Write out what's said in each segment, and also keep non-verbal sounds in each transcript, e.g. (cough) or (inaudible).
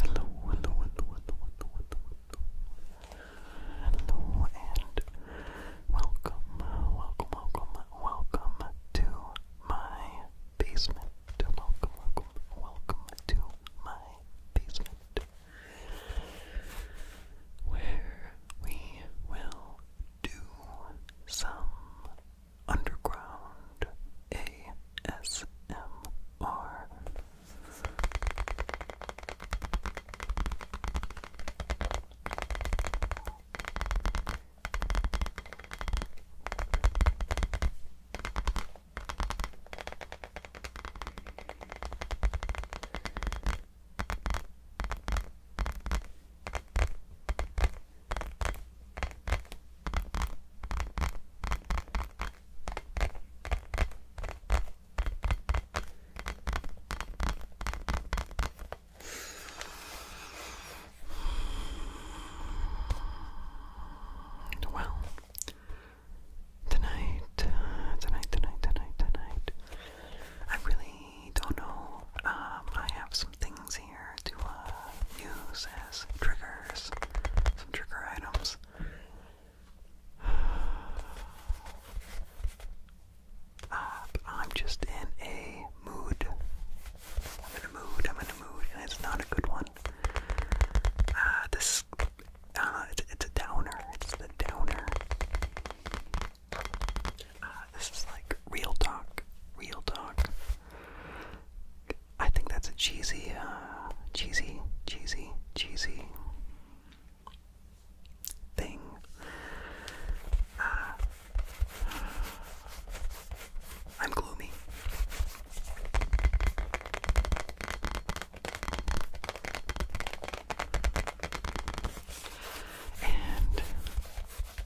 Hello, hello, hello, hello, hello, hello, and welcome, welcome, welcome, welcome to my basement. Welcome, welcome, welcome to my basement, where we will do some Underground ASMR. Well, tonight, uh, tonight, tonight, tonight, tonight, I really don't know. Um, I have some things here to uh, use as triggers, some trigger items. (sighs) Um, I'm just in a mood. I'm in a mood. I'm in a mood, and it's not a good one. Uh, this, uh, it's a downer. It's the downer. Uh, this is like real talk, real talk. I think that's a cheesy, uh, cheesy, cheesy, cheesy thing. Uh, I'm gloomy. And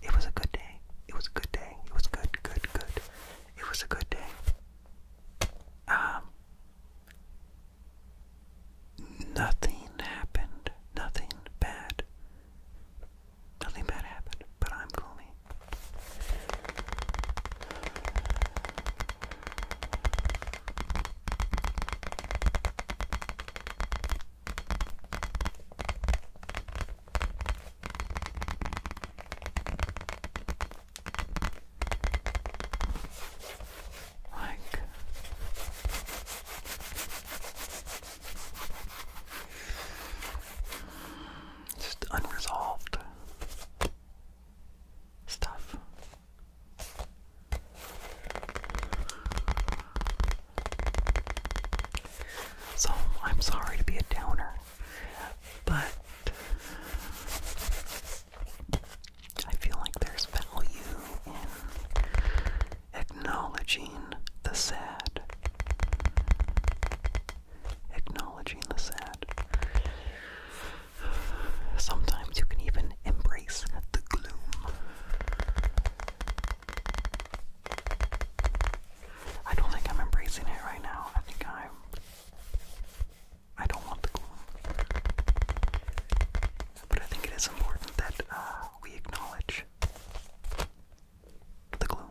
it was a good day. It was a good day. It was good, good, good. It was a good day. Um nothing happened. Nothing bad. Nothing bad happened, but I'm gloomy. Like just unresolved stuff. So I'm sorry to be a downer, but I feel like there's value in acknowledging the sad. Acknowledging the sad. Sometimes you can even embrace the gloom. I don't think I'm embracing it right now. I think I'm. I don't want the gloom. But I think it is important that uh, we acknowledge the gloom.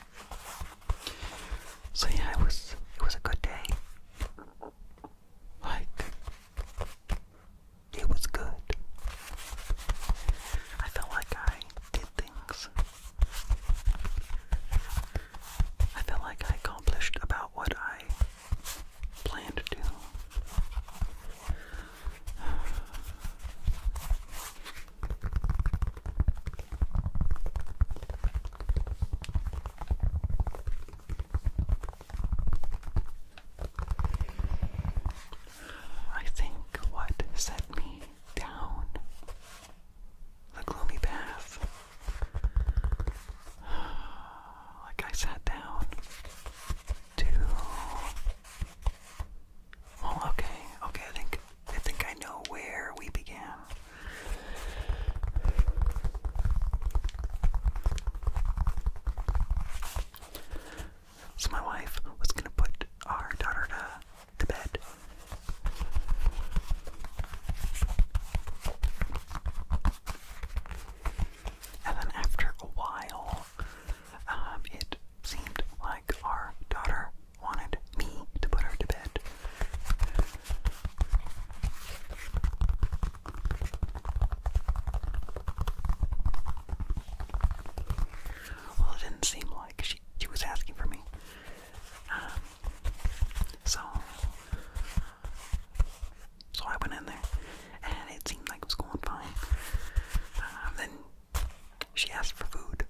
So yeah, it was it was a good day. Like it was good. I felt like I did things. I felt like I accomplished about what I planned to do. I think what set me down the gloomy path, like I sat down to well, okay, okay. I think I think I know where we began. So my wife was gonna put our daughter to, to bed. And then after a while, um, it seemed like our daughter wanted me to put her to bed. Well, it didn't seem like she, she was asking for me. Um, so, so I went in there, and it seemed like it was going fine. Uh, then she asked for food.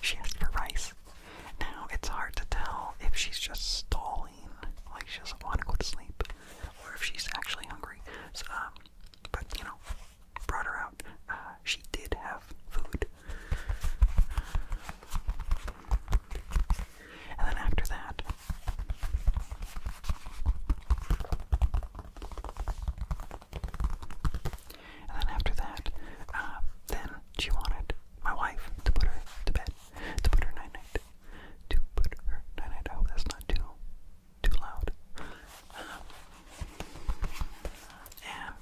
She asked for rice. Now it's hard to tell if she's just stalling, like she doesn't want to go to sleep, or if she's actually hungry. Um, but you know, brought her out. Uh, she did have food. And then after that, and then after that, uh, then she wanted my wife to put her to bed, to put her night night, to put her night night. I oh, that's not too too loud. Um, and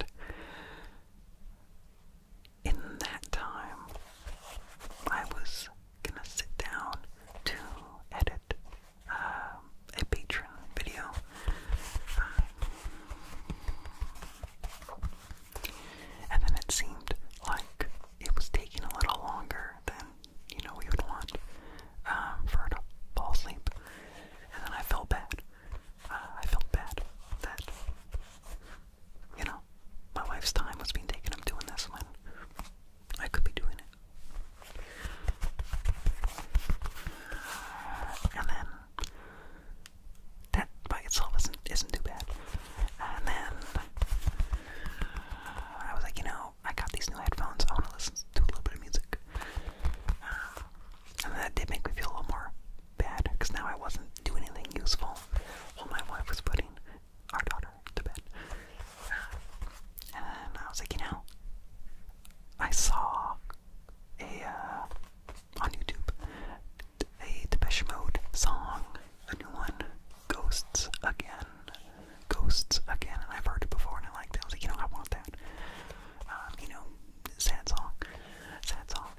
in that time, I was gonna sit down to edit uh, a patron video. Um, and then it seemed like it was taking a little longer than you know we would want um, for her to fall asleep. And then I felt bad. Uh, I felt bad that you know my wife's time was being taken up doing this when I could be doing it. And then that by itself isn't isn't too bad. And then I was like, you know, I got these new headphones. I want to listen to a little bit of music. Uh, and that did make me feel a little more bad because now I wasn't doing anything useful while my wife was putting our daughter to bed. And then I was like, you know, I saw a uh, on YouTube a Depeche Mode song, a new one, Ghosts Again, Ghosts Again, and I've heard it before and I liked it. I was like, you know, I want that. Um, you know, sad song, sad song.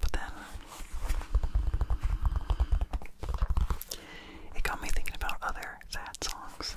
but then it got me thinking about other sad songs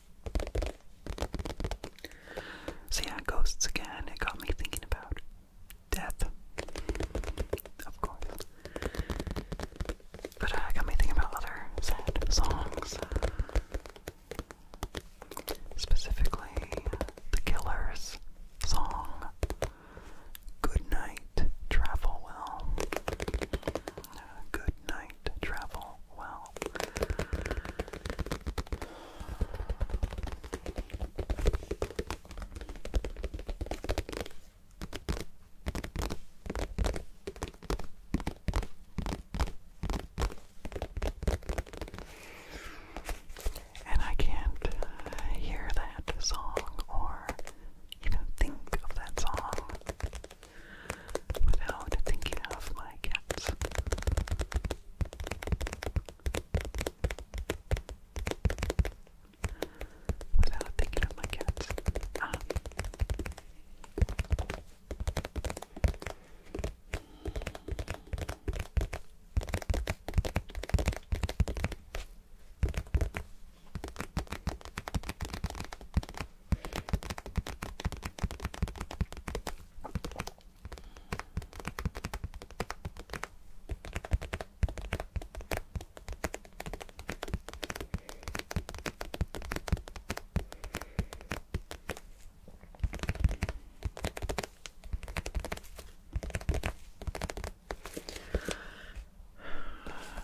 So, yeah, ghosts again. It got me thinking about death, of course. But uh, it got me thinking about other songs. Specifically, The Killers song Good Night, Travel Well. good Night, Travel well. And I can't uh, hear that song or even think of that song without thinking of my cats. Without thinking of my cats. Ah.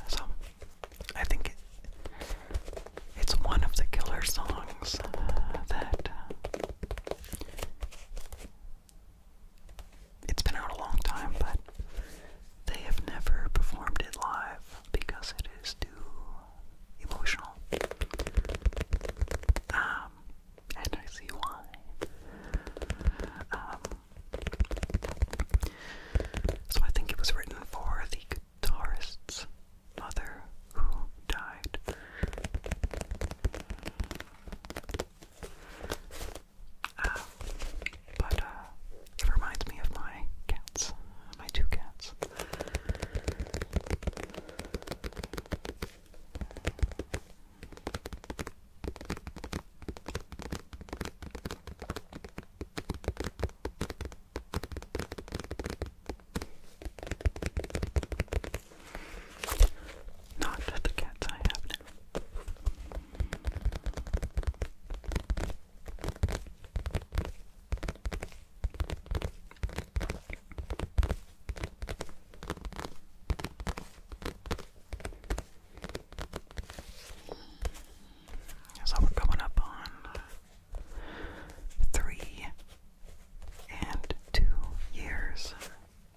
So I think it's one of the killer songs uh, that uh, it's been out a long time, but they have never performed it live because it is too emotional. Um, and I see why. Um, so I think it was written for the guitarists mother who died. Uh, but uh, it reminds me of my cats, my two cats. Not the cats I have So we're coming up on uh, three and two years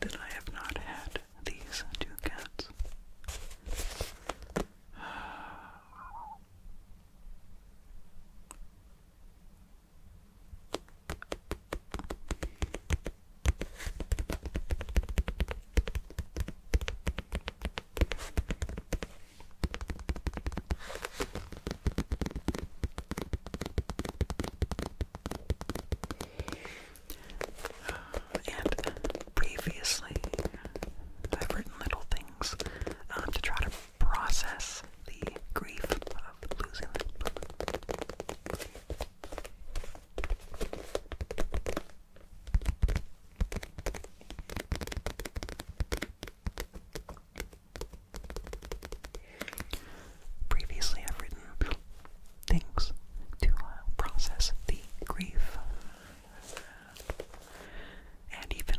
that I have not had these two cats. And previously, I've written little things um, to try to process the grief of losing them. Previously, I've written things to uh, process the grief and even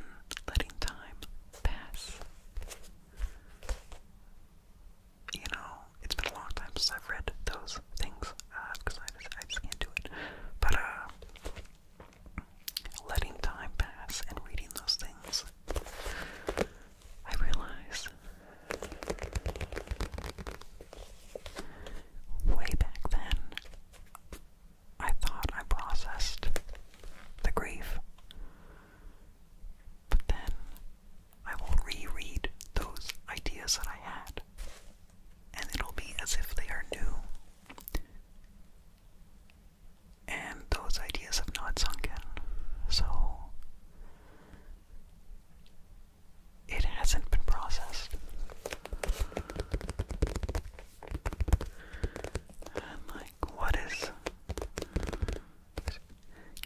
letting time pass. You know, it's been a long time since I've read those things because uh, I, I just can't do it. But uh, letting time pass and reading those things, I realized way back then I thought I processed the grief. But then I will reread those ideas that I had and it'll be as if they are new. And those ideas have not sunk in. So it hasn't been processed. And like, what is.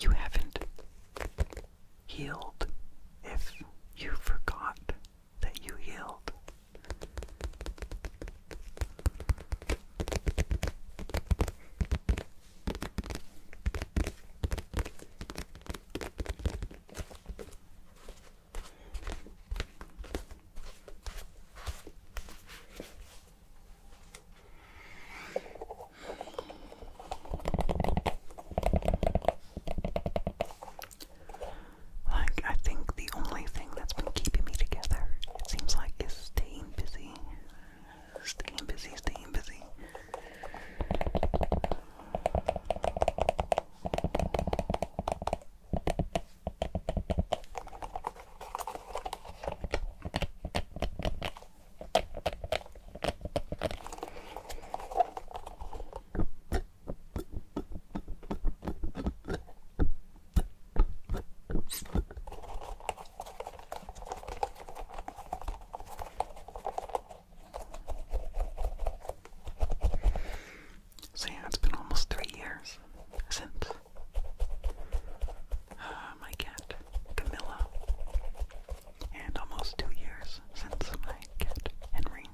You haven't healed if you forgot that you yield. Like, I think the only thing that's been keeping me together, it seems like, is staying busy. Staying busy, staying busy. So, yeah, it's been almost three years since uh, my cat Camilla, and almost two years since my cat Henry.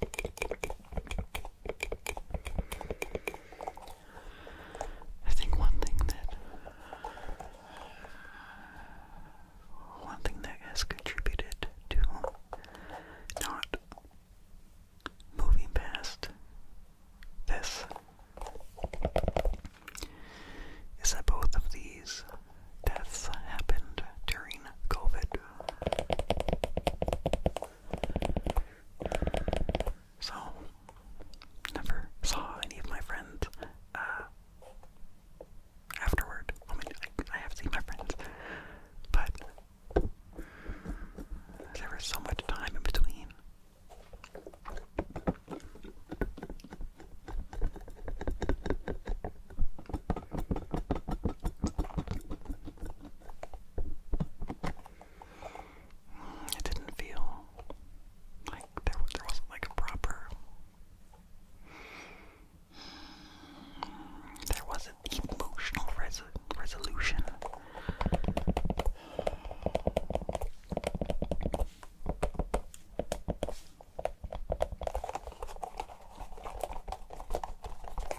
I think one thing that one thing that has contributed to not moving past this is that both of these deaths happened during COVID. So, never saw any of my friends uh, afterward. I mean, I have seen my friends, but there was so much time in between. It didn't feel like there, wasn't like a proper. There wasn't emotional resolution.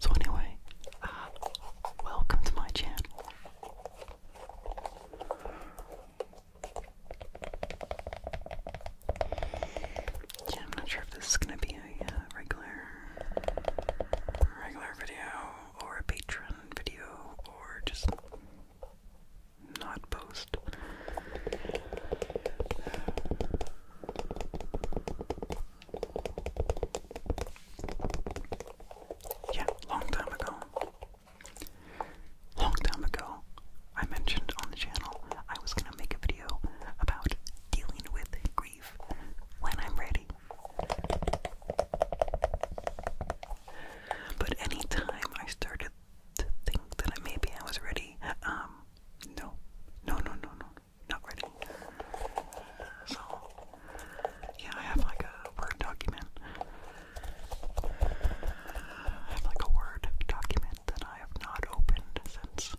So anyway, uh, welcome to my channel. Yeah, I'm not sure if this is gonna be a uh, regular, regular video or a patron video or just not post. Yeah, long time ago. Long time ago, I mentioned on the channel I was gonna make a video about dealing with grief when I'm ready. But any time I started to think that maybe I was ready, um, no, no, no, no, no, not ready. So, yeah, I have like a Word document. I have like a Word document that I have not opened since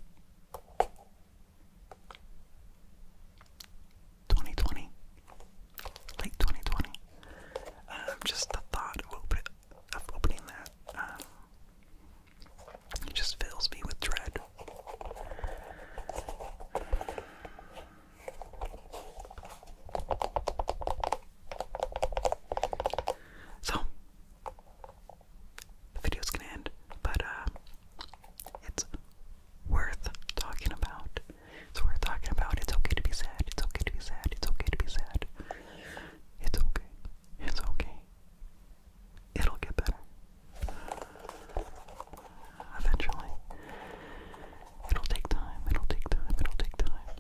2020, late 2020. Um, just the thought of, opening that. Um, it just fills me with dread. So, the video's gonna end, but uh, it's worth talking about. It's worth talking about. It's okay to be sad. It's okay to be sad. It's okay to be sad. It's okay. It's okay. It'll get better. Eventually. It'll take time, it'll take time, it'll take time.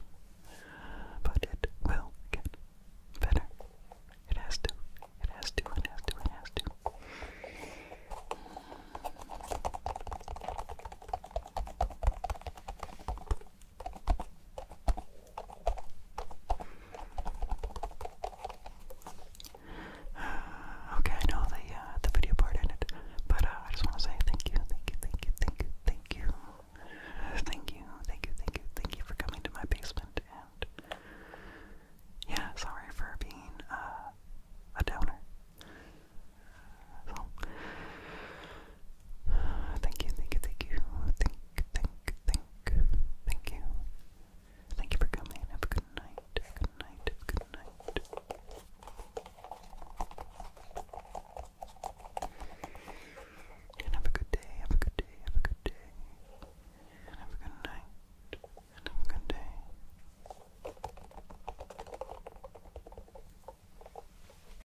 But it will get better. It has to. It has to, it has to, it has to. (sighs) okay, I the uh, the video part ended, but uh, I just want to say thank you, thank you, thank you, thank you, thank you, thank you, thank you, thank you, thank you for coming to my basement, and yeah, sorry for being uh, a downer. So, (sighs) Thank you, thank you, thank you. Thank, thank, thank, thank you. Thank you for coming. Have a good night. Good night. Good night. And have a good day. Have a good day. Have a good day. And have a good night. And have a good day.